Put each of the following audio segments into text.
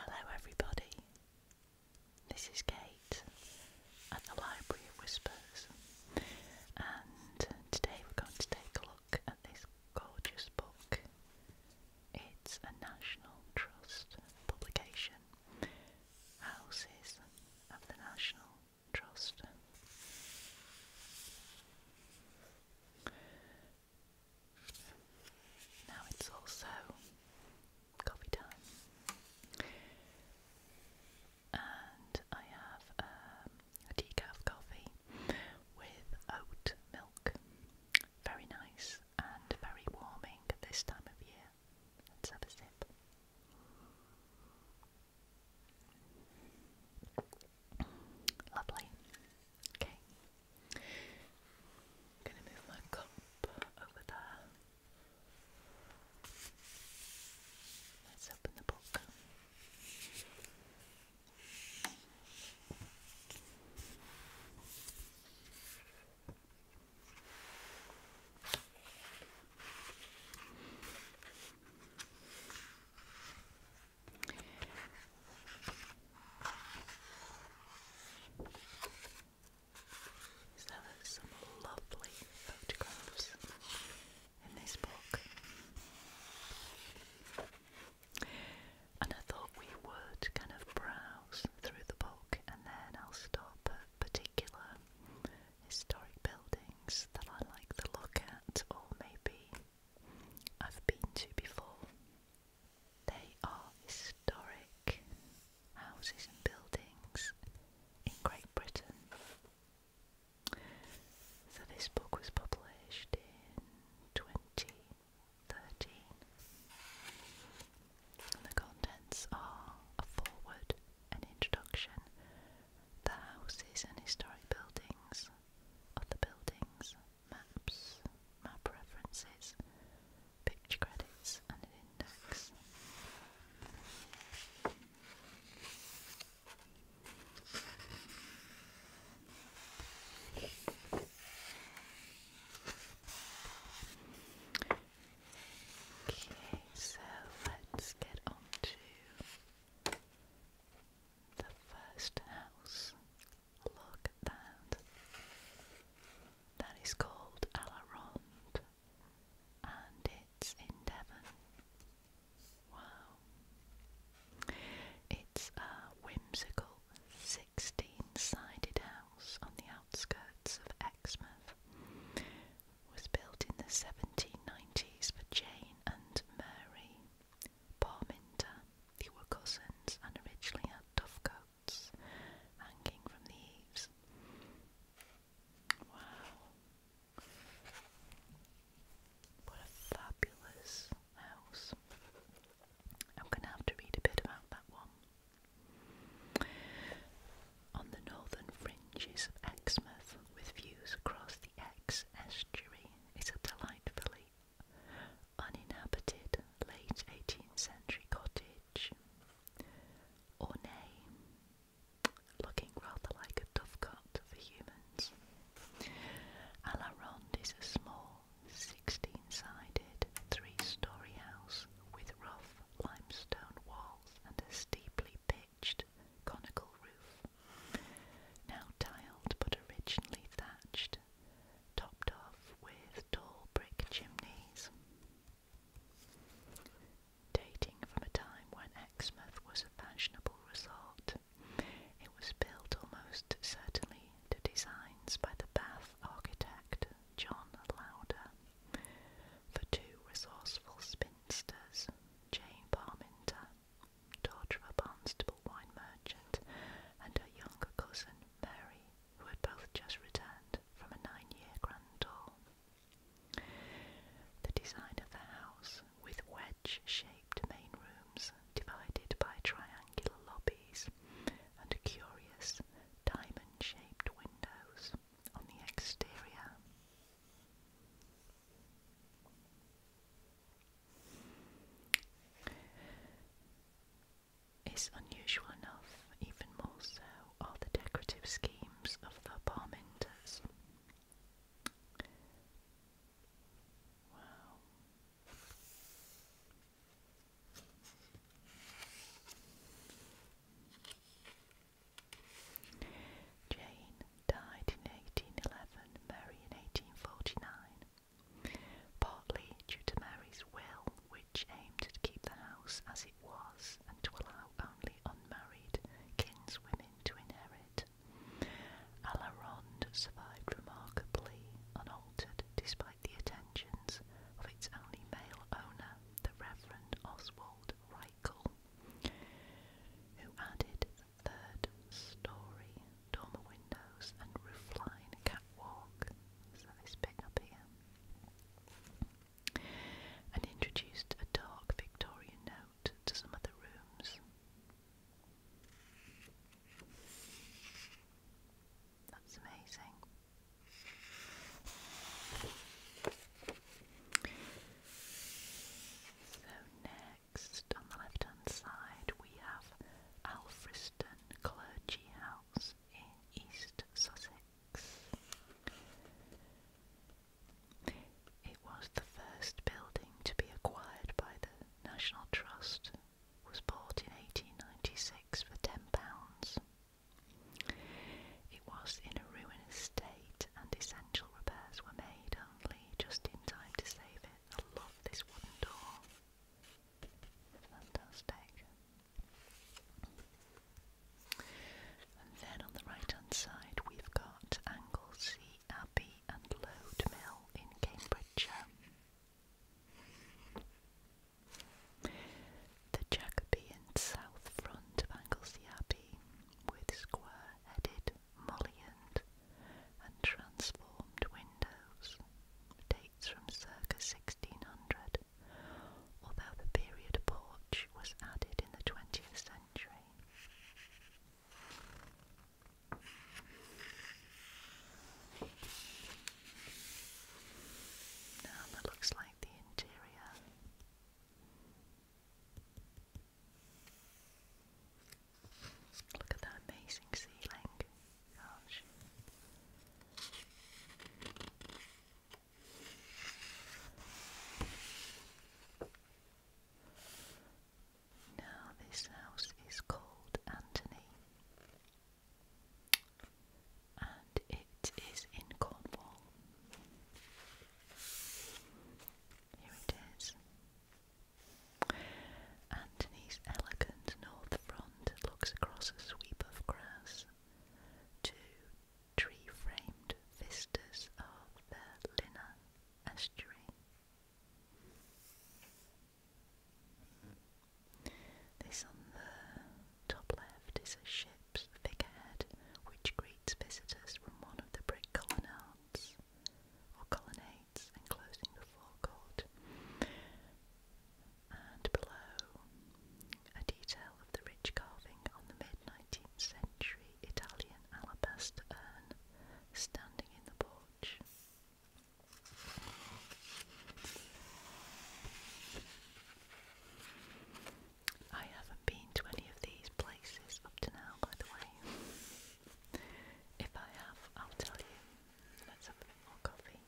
Hello, everybody. This is Kate at the Library of Whispers, and today we're going to take a look at this gorgeous book. It's a National Trust publication, Houses of the National Trust. Now it's also coffee time, and I have um, a decaf coffee with oat milk. Very nice and very warming at this time of year. Let's have a sip. Lovely. Okay, I'm gonna move my cup over there. Let's open the book. So there's some lovely photographs in this book. And I thought we would kind of browse through the book and then I'll stop at particular historic buildings that I like to look at or maybe I've been to before. They are historic houses and buildings in Great Britain. So this book was published in 2013. And the contents are a foreword, an introduction, the houses and historic buildings, of the buildings, maps, map references, picture credits, and an index. Okay, so let's get on to the first house Look at that. That is called Alarond and it's in Devon. Wow. It's a whimsical 16-sided house on the outskirts of Exmouth. was built in the 1790s for Jane and Mary. Paul Minter. They were cousins and originally had tough coats hanging from the eaves. Wow. What a fabulous house. I'm going to have to read a bit about that one. On the northern fringes of Exmouth, with views across the Exe estuary, is a delightfully uninhabited late 18th century cottage, or nay, looking rather like a dovecot for humans. A is a small 16-sided three-storey house with rough limestone walls and a steeply pitched conical roof, now tiled but originally thatched topped off with tall brick chimneys, dating from a time when Exmouth was a fashionable resort. It was built almost certainly to designs by the Bath architect John Lauder for two resourceful spinsters, Jane Parminter, daughter of a Barnstable wine merchant, and her younger cousin Mary, who had both just returned from a nine year grand tour. The design of the house, with wedge shaped main rooms divided by triangular lobbies and curious diamond shaped windows on the exterior is unusual enough, even more so are the decorative schemes of the Parmenters. Wow. Jane died in 1811, Mary in 1849 partly due to Mary's will, which aimed to keep the house as it was and to allow only unmarried kinswomen to inherit. Alarond survived remarkably unaltered despite the attentions of its only male owner, the Reverend Oswald Reichel, who added the third story dormer windows and roofline catwalk, so this bit up here, and introduced a dark Victorian note to some other rooms. That's amazing. So next, on the left-hand side, we have Alfriston clergy house in East Sussex. It was the first building to be acquired by the National Trust, was bought in 1896 for £10. It was in a ruinous state and essential repairs were made only just in time to save it. I love this wooden door then on the right hand side we've got Anglesey Abbey and Lode in Cambridgeshire. The Jacobean south front of Anglesey Abbey with square headed mullioned and transformed windows dates from circa 1600, although the period porch was added in the 20th century. Now that looks like the interior. Look at that amazing ceiling. Now this house is called Antony and it is in Cornwall. Here it is. Antony's elegant north front looks across a sweep of grass. Two tree framed vistas of the Lina estuary. This on the top left is a ship's figurehead which greets visitors from one of the brick colonnades or colonnades enclosing the forecourt and below a detail of the rich carving on the mid-19th century Italian alabaster urn standing in the porch. I haven't been to any of these places up to now, by the way. If I have, I'll tell you. Let's have a bit more coffee.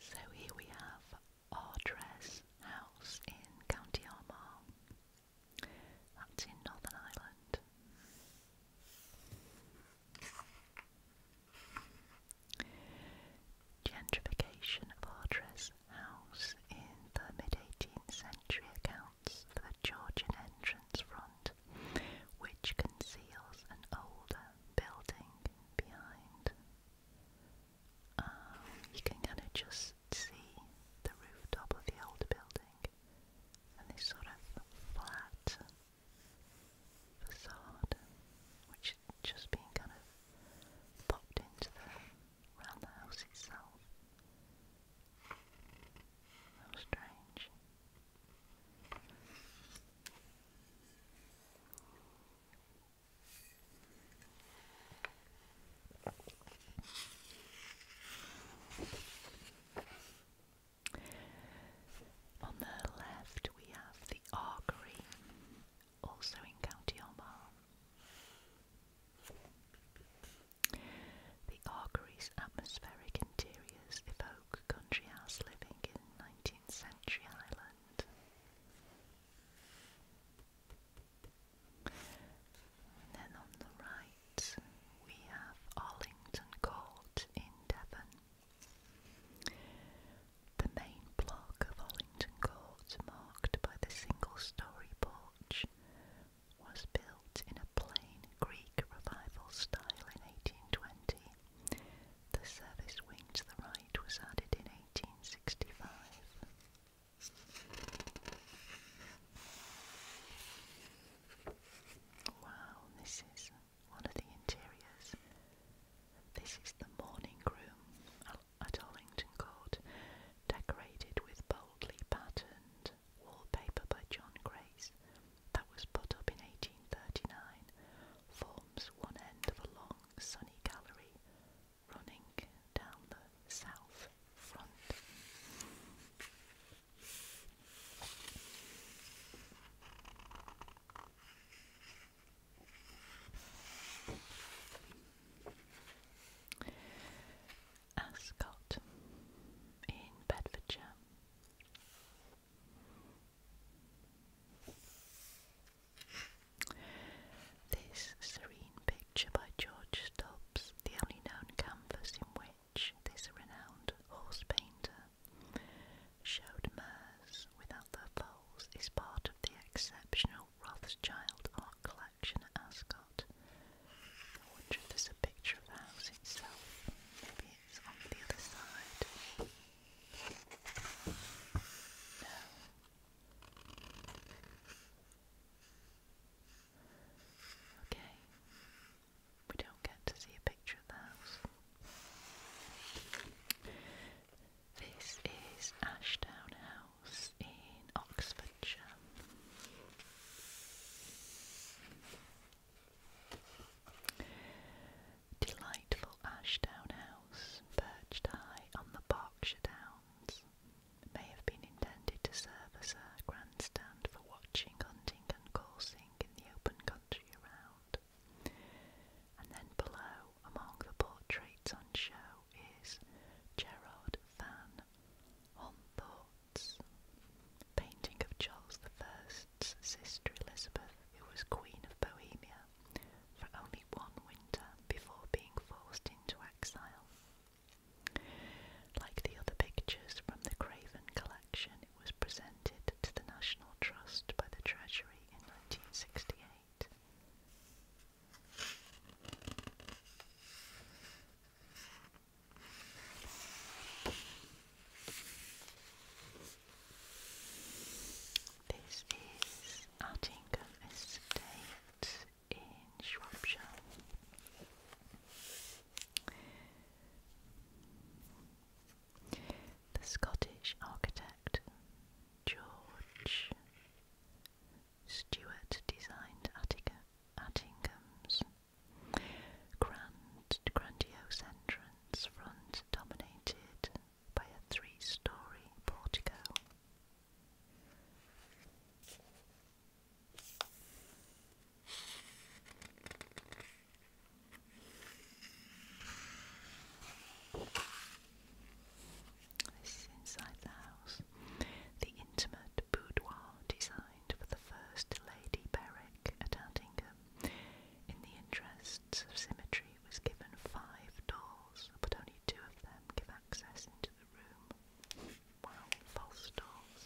So here we have Ardres House in County Armagh. That's in Northern Ireland. Gentrification of Ardres house in the mid-18th century accounts for the Georgian entrance front, which conceals an older building behind. Um, you can kind of just see the rooftop of the old building and this sort of flat facade, which just being kind of popped into the around the house itself. strange. On the left, we have the Argery, also in County Armagh. The Argery's atmospheric interiors evoke country house living in 19th century Ireland. And then on the right we have Arlington Court in Devon. The main block of Arlington Court, marked by the single-storey porch, was built in a plain Greek revival style in 1820. The service wing to the right was added in 1865. Wow, this is one of the interiors. This is the morning room at Allington Court, decorated with boldly patterned wallpaper by John Grace that was put up in 1839, forms one end of a long sunny gallery running down the south front. Ascot in Bedfordshire. This serene picture by George Stubbs, the only known canvas in which this renowned horse painter showed mares without their foals, is part of the exceptional Rothschild art collection at Ascot. I wonder if there's a picture of the house itself. Maybe it's on the other side. No. Okay. We don't get to see a picture of the house. This is Ashdown House in Oxfordshire. Delightful Ashdown House, perched high on the Berkshire Downs, may have been intended to serve as a grandstand for watching, hunting, and coursing in the open country around. And then below, among the portraits on show, is Gerard Van Home painting of Charles I's sister Elizabeth, who was Queen of Bohemia for only one winter before being forced into exile. Like the other pictures from the Craven collection, it was presented to the National Trust by the Treasury in 1968. This is Attingham Estate in Shropshire. The Scottish architect George Stuart designed Attica, Attingham's grand, grandiose entrance front dominated by a three-storey portico. This is inside the house. The intimate boudoir designed for the first Lady Berwick at Aldingham, in the interests of symmetry, was given five doors, but only two of them give access into the room. Wow, false doors.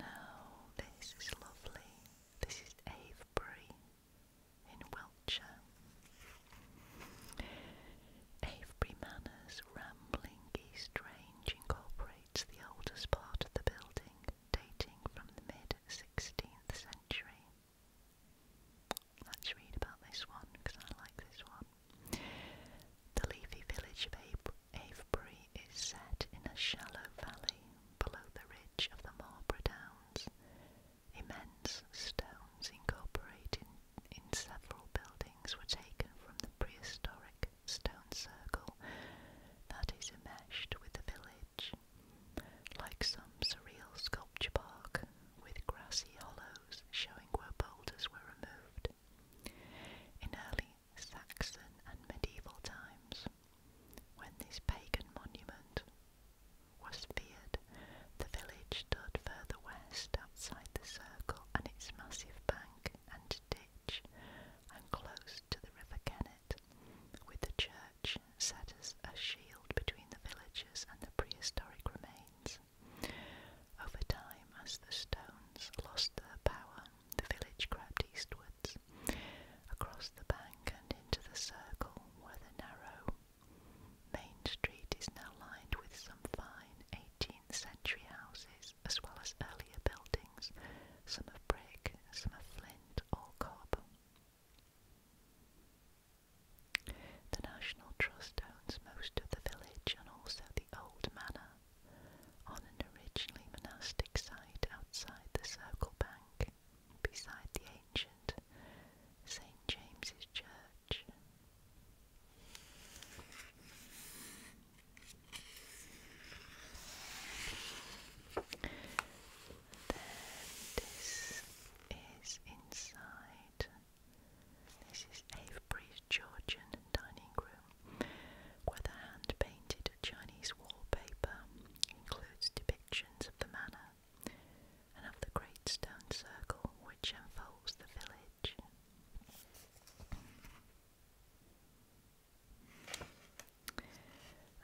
Now, this is lovely. This is Avebury, in Wiltshire. Avebury Manor's rambling East Range incorporates the oldest part of the building, dating from the mid 16th century. Let's read about this one because I like this one. The leafy village of Ave Avebury is set in a shallow valley below the ridge of the Marlborough Downs Immense stones incorporated in several buildings were taken from the prehistoric stone circle that is enmeshed with the village, like some surreal sculpture park with grassy hollows showing where boulders were removed. In early Saxon and medieval times, when this pagan monument was feared. The village stood further west outside the circle and its massive bank and ditch, and close to the River Kennet, with the church set as a shield between the villagers and the prehistoric remains. Over time, as the stones lost their power, the village crept eastwards. Across the bank and into the circle where the narrow, Main Street is now lined with some fine 18th century houses as well as earlier buildings, some of brick, some of flint or cob. The National Trust owns most of the village and also the old manor on an originally monastic site outside the Circle Bank beside the ancient St James's Church. this is inside. This is Avebury's Georgian dining room, where the hand painted Chinese wallpaper includes depictions of the manor and of the great stone circle which enfolds the village.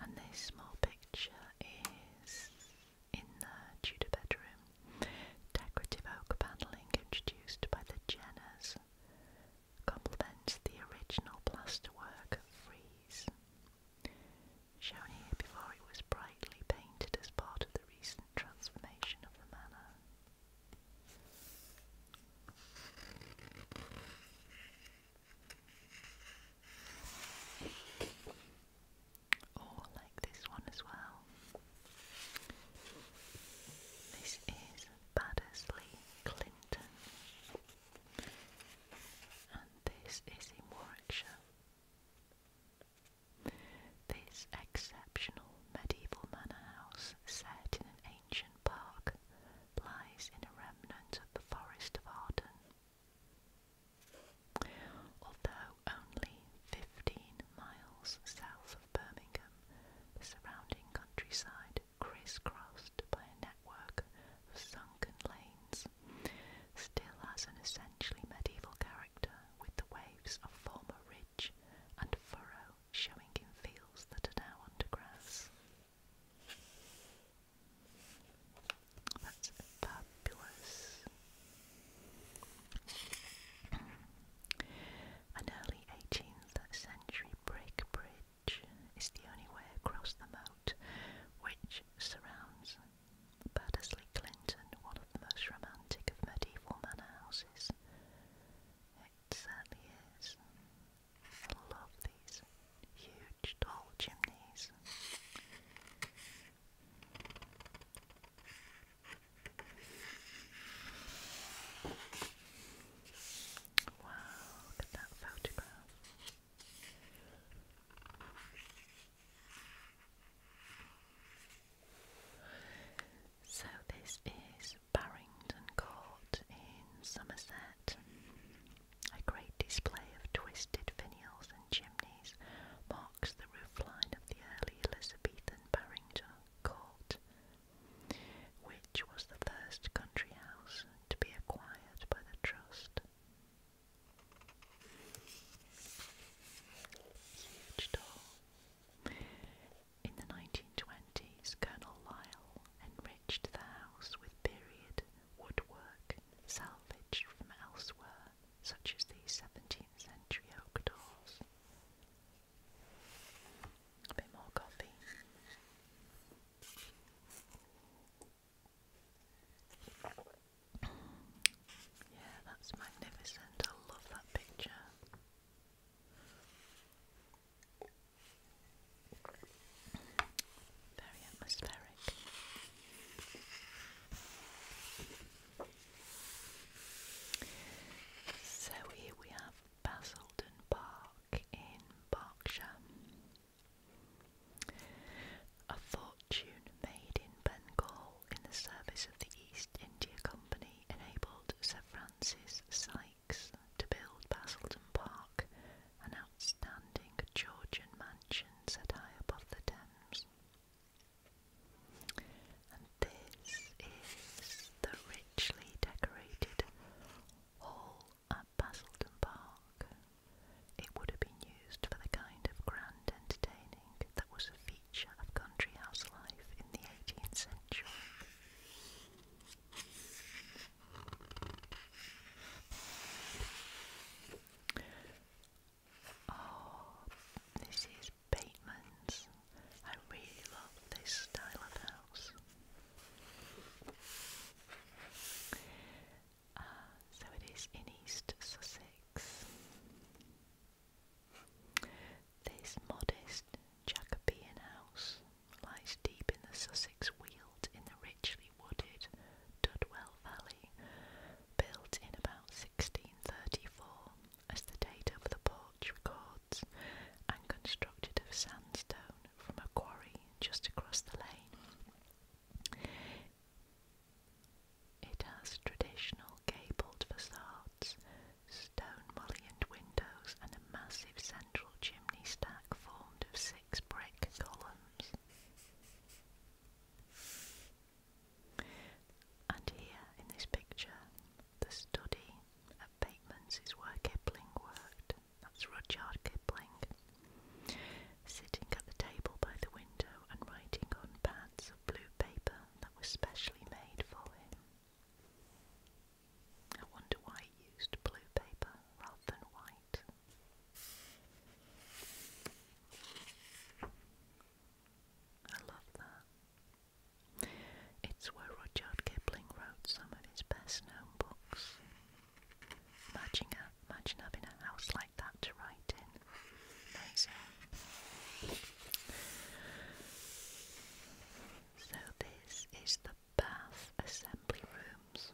And this small picture is in the Tudor bedroom, decorative oak panelling introduced by the Jenners complements the original plasterwork frieze. Shown here before it was brightly painted as part of the recent transformation of the manner, Or like this one as well. This is Baddersley Clinton, and this is in this exceptional medieval manor house, set in an ancient park, lies in a remnant of the Forest of Arden. Although only 15 miles south of Birmingham, the surrounding countryside crisscrossed by a network of sunken lanes still has an essentially medieval character with the waves of former ridge and furrow showing in fields that are now under grass. That's fabulous. An early 18th century brick bridge is the only way across the moat which surrounds Baddesley Clinton, one of the most romantic of medieval manor houses. It certainly is. I love these huge, tall chimneys. Wow, look at that photograph. So this is Barrington Court in Somerset. A great display of twisted finials and chimneys marks the roofline of the early Elizabethan Barrington Court, which was the first country house to be acquired by the Trust. In the 1920s, Colonel Lyle enriched the house with period woodwork salvaged from elsewhere, such as the 17th century oak doors. A bit more coffee. Yeah, that's magnificent. I love that picture. Very atmospheric. So here we have Basildon Park in Berkshire. A fortune made in Bengal in the service of the East. East India Company enabled Sir Francis Sykes to build Basildon Park, an outstanding Georgian mansion set high above the Thames. And this is the richly decorated hall at Basildon Park. It would have been used for the kind of grand entertainment that was a feature of country house life in the 18th century. Oh, this is Bateman's. I really love this style of house. Uh, so it is in East Sussex. This modest Jacobean house lies deep in the Sussex Weald in the richly wooded Dudwell Valley, built in about 1634, as the date of the porch records, and constructed of sandstone from a quarry just across the lane. It has traditional gabled facades, stone mullioned windows, and a massive central chimney stack formed of six brick columns. And here in this picture, the study at Bateman's is where Kipling worked. That's Rudyard Kipling. Sitting at the table by the window and writing on pads of blue paper that was specially made for him. I wonder why he used blue paper rather than white. I love that. It's where Rudyard Kipling wrote some of his best known books. Imagine, imagine having a house like that to write in. Nice. So this is the bath assembly rooms.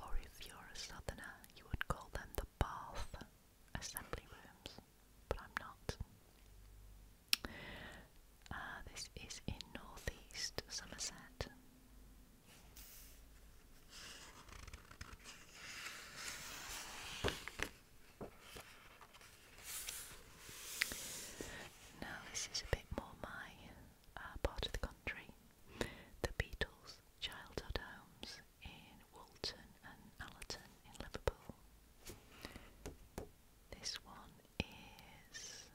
Or if you're a southerner, you would call them the bath assembly rooms, but I'm not. Uh, this is in northeast Somerset. Now, this is a bit more my uh, part of the country. The Beatles' childhood homes in Walton and Allerton in Liverpool. This one is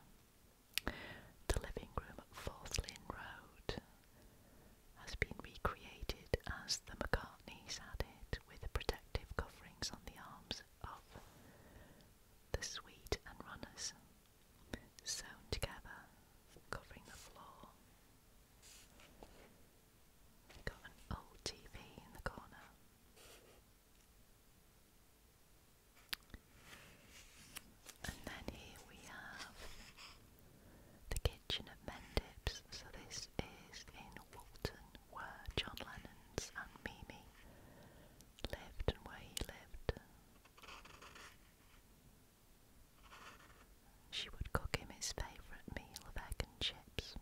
the living room at Fourth Lane Road has been recreated as the McCartneys had it, with the protective coverings on the arms of the suite and runners sewn together, covering the floor. Got an old TV in the corner. And then here we have the kitchen kitchen Mendips. So this is in Walton, where John Lennon's and Mimi lived and where he lived. She would cook him his favourite meal of egg and chips.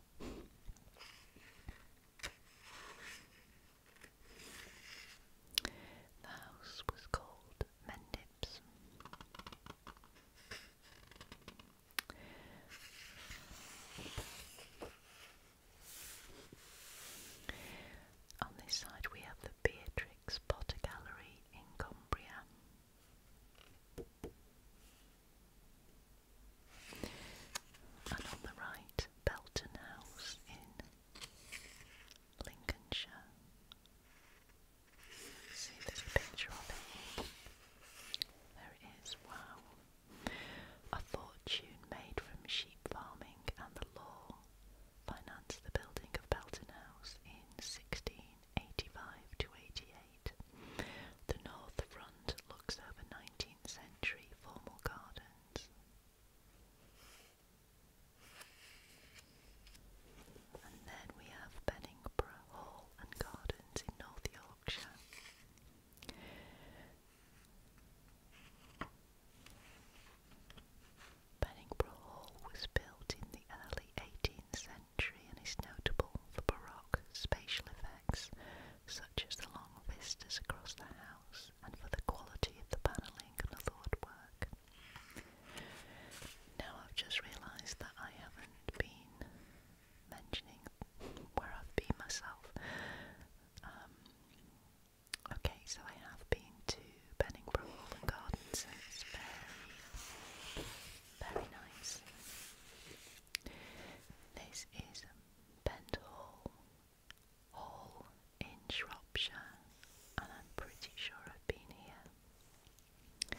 The house was called Mendips. On this side, we have the Beatrix Potter Gallery in Cumbria. And on the right, Belton House in Lincolnshire. See, there's picture of it. There wow. A fortune made from sheep farming and the law financed the building of Belton House in 1685 to 88. The north front looks over 19th century formal gardens. And then we have Benningborough Hall, and in Hall was built in the early 18th century and is notable for baroque spatial effects such as the long vistas across the house and for the quality of the panelling and other woodwork. Now I've just realised that I haven't been mentioning where I've been myself. Um, okay, so I have been to Benningbrough Hall Gardens, and it's very, very nice. This is Bent Hall, Hall in Shropshire, and I'm pretty sure I've been here.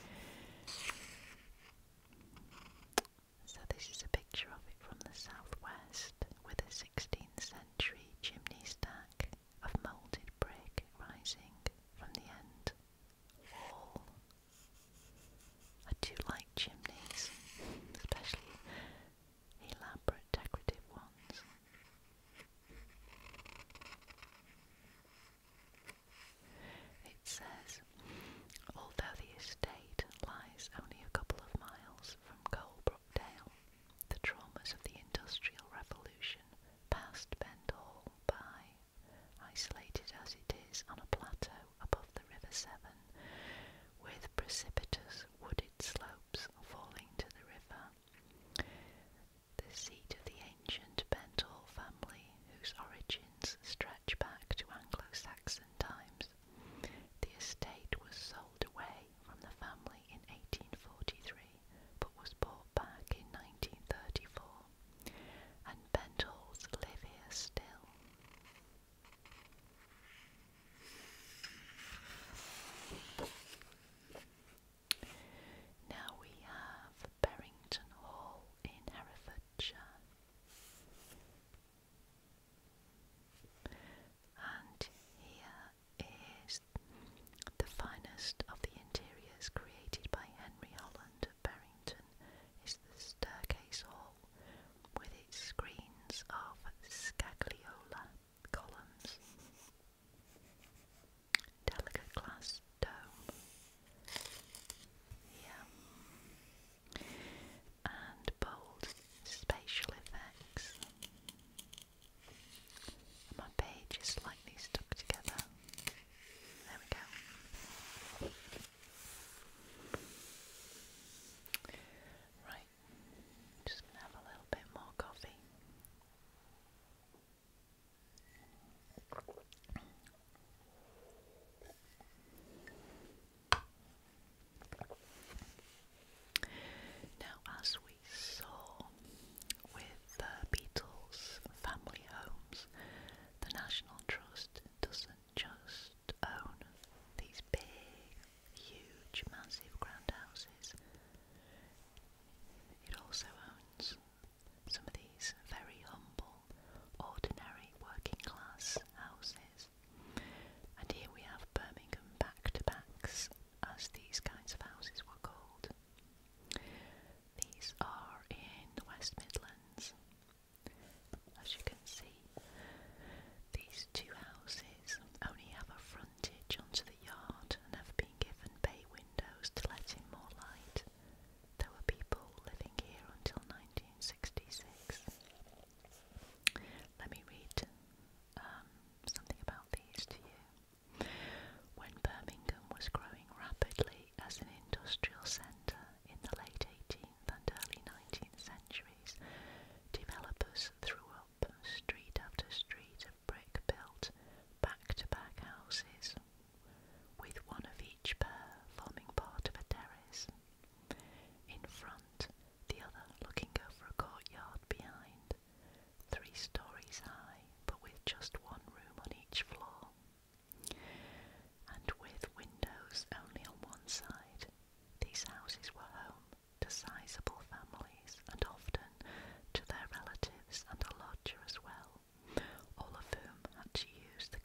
So this is a picture of it from the southwest with a 16th century chimney stack of moulded brick rising from the end I do like chimneys, especially elaborate decorative ones. It says, although the estate lies only a couple of miles from Coalbrookdale, the traumas of the Industrial Revolution passed Bend Hall by, isolated as it is on a plateau above the River Severn, with precipitous wooded slopes falling to the river. The seat of the ancient Bendall family, whose origin stretch back to Anglo-Saxon times. The estate was sold away from the family in 1843, but was bought back in 1934, and Bentles live here still. Now we have Berrington Hall in Herefordshire. And here is the finest of the interiors created by Henry Holland of Barrington is the staircase hall with its screens of scagliola columns, delicate glass dome and bold spatial effects. my page slightly stuck together. There we go. Right, just gonna have a little bit more coffee. Now, as we saw with the Beatles' family homes, the National Trust doesn't just own these big, huge, massive grand houses, it also owns some of these very humble ordinary working class houses. And here we have Birmingham back to backs, as these kinds of houses were called. These are in the West Midlands. As you can see, these two houses only have a frontage onto the yard and have been given bay windows to let in more light. There were people living here until 1960. 66. Let me read um, something about these to you. When Birmingham was growing rapidly as an industrial centre in the late 18th and early 19th centuries, developers threw up street after street of brick built back to back houses, with one of each pair forming part of a terrace. In front, the other looking over a courtyard behind, three stories high, but with just one room on each floor, and with windows only on one side. These houses were home to sizable families and often to their relatives and a lodger as well, all of whom had to use the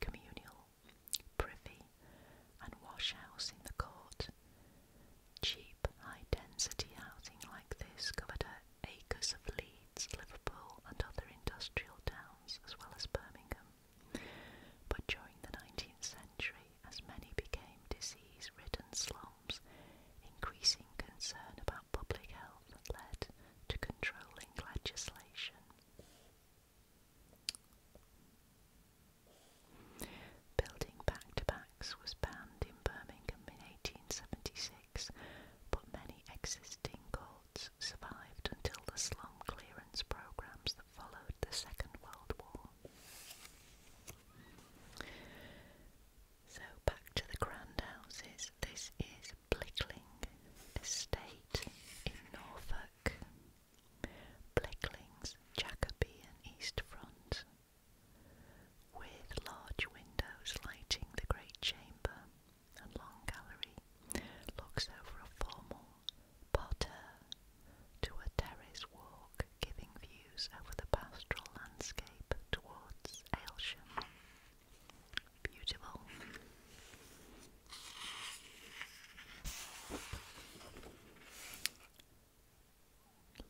communal privy, and wash house in the court. Cheap, high density housing like this covered acres of Leeds, Liverpool, and other industrial towns, as well as Birmingham. But during the 19th century, as many became disease ridden slums, increasing concern about public health led to controlling legislation. Building back-to-backs was banned in Birmingham in 1876, but many existing courts survived until the slum clearance programs that followed the Second World War. So back to the grand houses. This is Blickling Estate in Norfolk, Blickling's Jacobean east front, with large windows lighting the great chamber and long gallery, looks over a formal parterre to a terrace walk giving views over the pastoral landscape towards Aylsham. Beautiful.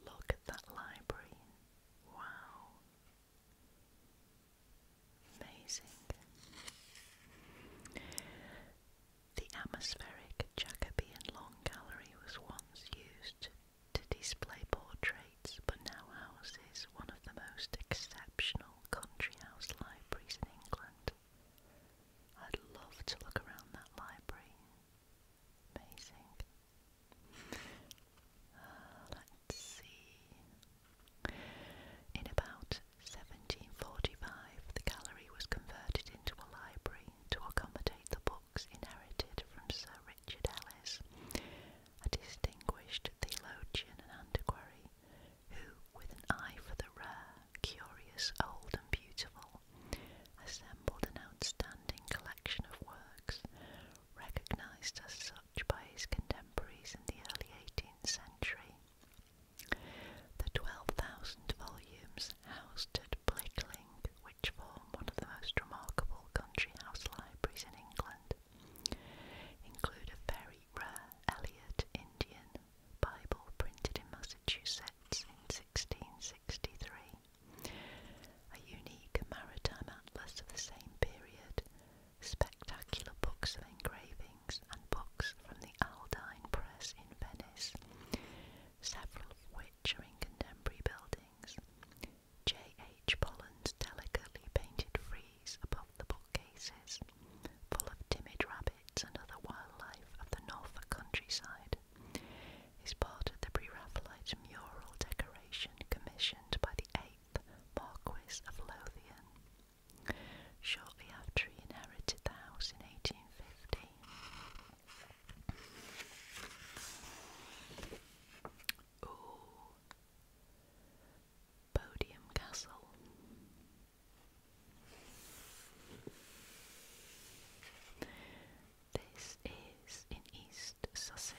Look at that library. Wow. Amazing. The atmospheric Jacobean Long Gallery was once used to display portraits, but now houses one of the most exceptional country house libraries in England. I'd love to look around that library. Amazing. Uh, let's see. In about 1745, the gallery was converted into a library to accommodate the books inherited from Sir Richard Ellis, a distinguished theologian and antiquary who, with an eye for the rare, curious, old, and beautiful, assembled an outstanding collection of works, recognized as such by his contemporaries in the early 18th century. The 12,000 volumes housed at Blickling, which form one of the most remarkable country house libraries in England, include a very rare Eliot Indian Bible printed in Massachusetts in 1663, a unique maritime atlas of the same period, spectacular books of engravings, and books from the Aldine Press in Venice, several of which are in contemporary buildings. J. H. Polland's delicately painted frieze above the book. Cases full of timid rabbits and other wildlife of the Norfolk countryside is part of the Pre-Raphaelite mural decoration commissioned by the 8th Marquis of Lothian shortly after he inherited the house in 1815. Podium Castle. This is in East Sussex.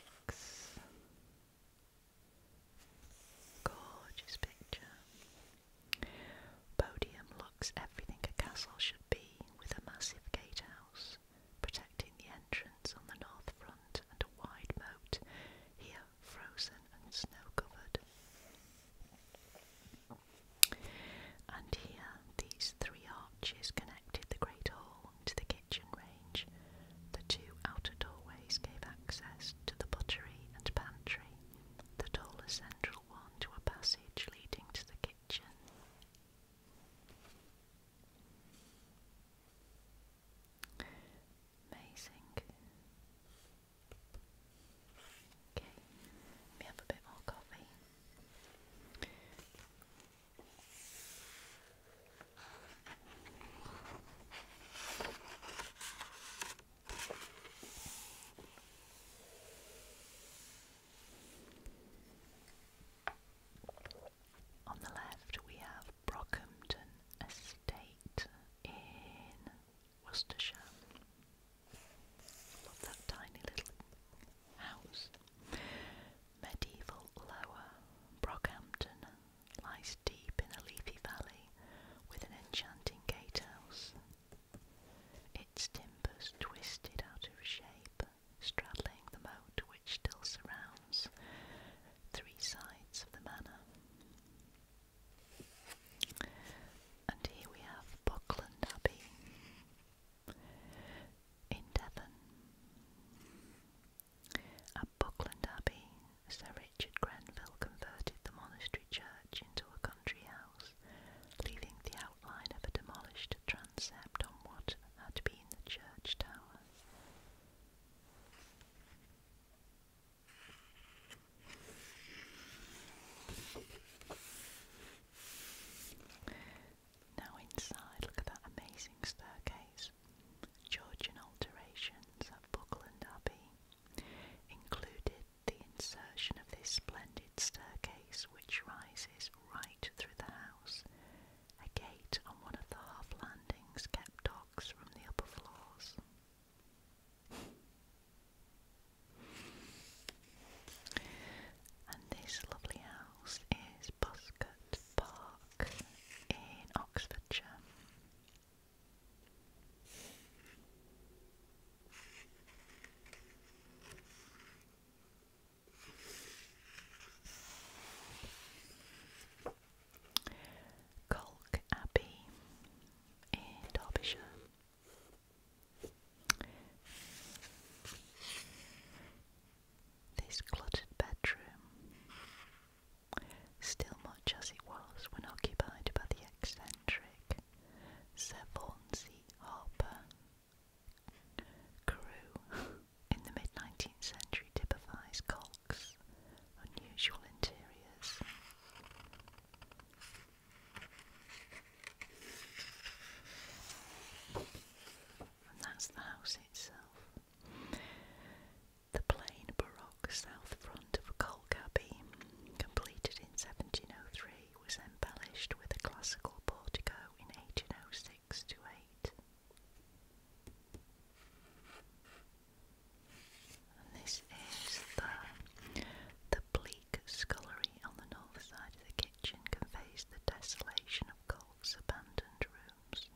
Gorgeous picture. Bodiam looks everything a castle should be, with a massive gatehouse protecting the entrance on the north front and a wide moat here frozen and snow covered. And here, these three arches connected the great hall to the kitchen range. The two outer doorways gave access to the buttery and pantry, the taller central one to a passage leading to the kitchen. Amazing. Okay, let have a bit more coffee. On the left, we have Brockhampton Estate in Worcestershire. Love that tiny little house. Medieval Lower Brockhampton lies deep in a leafy valley with an enchanting gatehouse. Its timbers twisted out of shape, straddling the moat which still surrounds three sides of the manor. And here we have Buckland Abbey in Devon. At Buckland Abbey, Sir Richard Grenville converted the monastery church into a country house, leaving the outline of a demolished transept on what had been the church tower. Now inside, look at that amazing staircase. Georgian alterations at Buckland Abbey included the insertion of this splendid staircase which rises right through the house. A gate on one of the half landings kept dogs from the upper floors. And this lovely house is Buscott Park in Oxfordshire. Colk Abbey in Derbyshire. This cluttered bedroom, still much as it was when occupied by the eccentric Sir Harper, crew in the mid 19th century typifies Cox's unusual interiors that's the house itself. The plain baroque south front of a coal cabin, completed in 1703, was embellished with a classical portico in 1806 to 8. This is the, the bleak scullery on the north side of the kitchen conveys the desolation of Colt's abandoned rooms.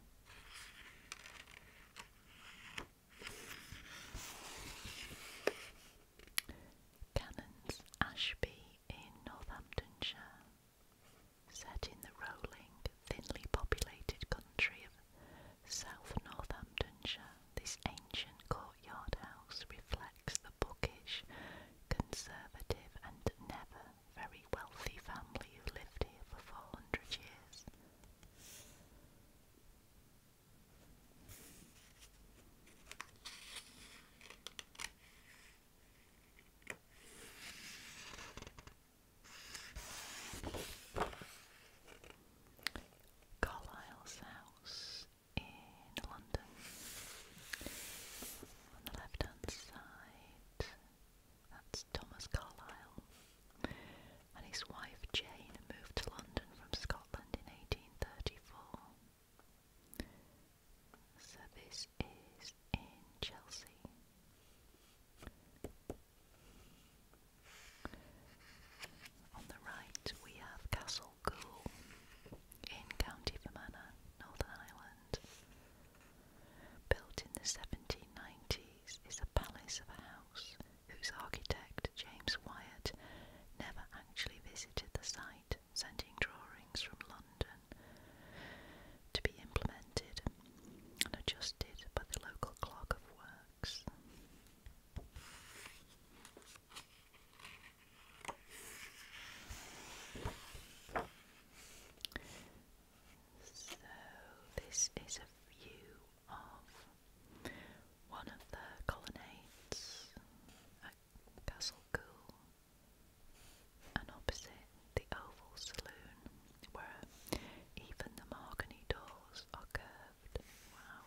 Cannons Ashby in Northamptonshire. Set in the rolling, thinly populated country of South Northamptonshire, this ancient court courtyard house reflects the bookish, conservative, and never very wealthy family who lived here for 400 years. Carlyle's house in London. On the left hand side, that's Thomas Carlyle. And his wife Jane moved to London from Scotland in 1834. So this is in Chelsea. On the right, we have Castle Local in County Fermanagh, Northern Ireland. Built in the 1790s is a palace of a house whose architect, James Wyatt, never actually visited the site, sending drawings from London to be implemented and adjusted by the local clerk of works box. So, this is a view of one of the colonnades at Castle Cool and opposite the Oval Saloon, where even the mahogany doors are curved. Wow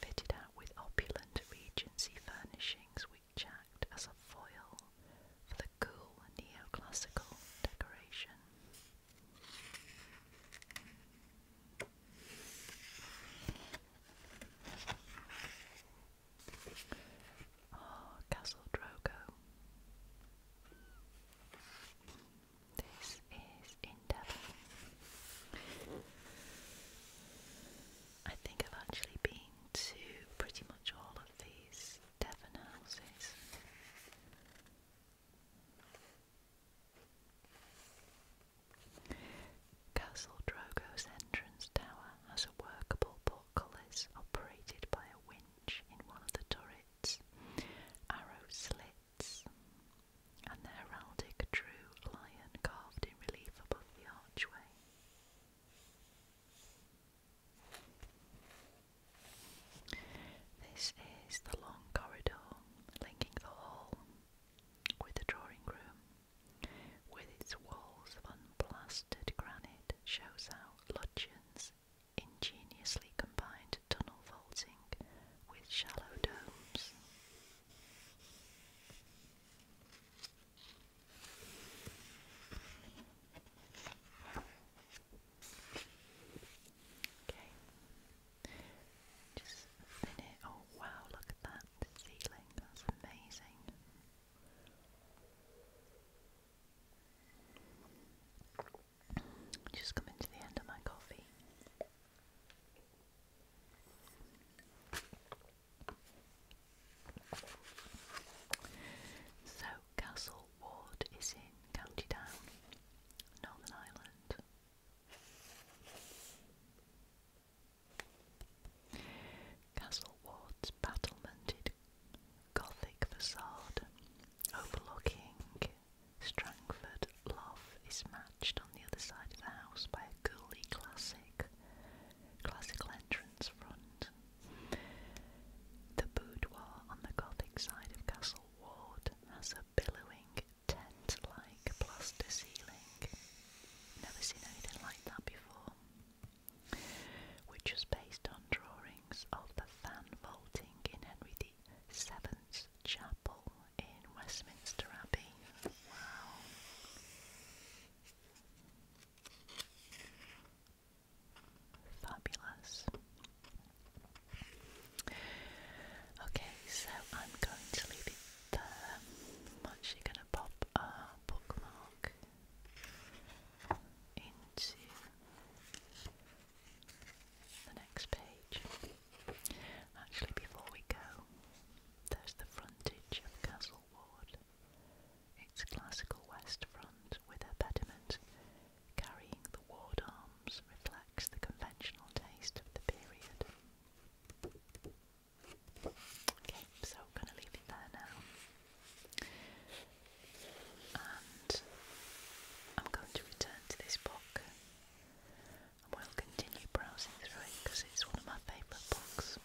fitted out with opulent Regency furnishings which act as a foil for the cool neoclassical decoration. Ah, Castle Drogo. This is in Devon. I think I've actually been to pretty much all of these Devon houses. Castle Drogo's entrance tower has a workable portcullis operated by a winch in one of the turrets. Arrow slits and the heraldic true lion carved in relief above the archway. This is the long corridor linking the hall with the drawing room, with its walls of unplastered granite, shows how Lutjens ingeniously combined tunnel vaulting with shallow domes. Okay. Just spin it. Oh wow, look at that ceiling. That's amazing. Just coming to the end of my coffee. So, Castle Ward is in County Down, Northern Ireland. Castle Ward's battlemented Gothic facade overlooking Strangford Love is matched on the other side of the house by a ghouly classic, classical entrance front. The boudoir on the Gothic side of Castle Ward has a billowing tent-like plaster ceiling. Never seen anything like that before. Which was based on drawings of the fan vaulting in Henry VII's Chapel, in Westminster Abbey. Wow. Fabulous. Okay, so I'm going to leave it I'm actually going to pop a bookmark into the next page. Actually, before we go, there's the frontage of Castle Ward. It's classical west front with a pediment carrying the ward arms reflects the conventional taste of the period. Okay, so I'm going to leave it there now. And I'm going to return to this book we'll continue browsing through it because it's one of my favourite books.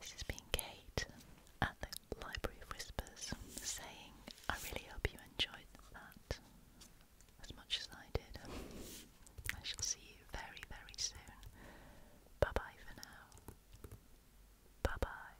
This has been Kate at the Library of Whispers saying, I really hope you enjoyed that as much as I did. I shall see you very, very soon. Bye bye for now. Bye bye.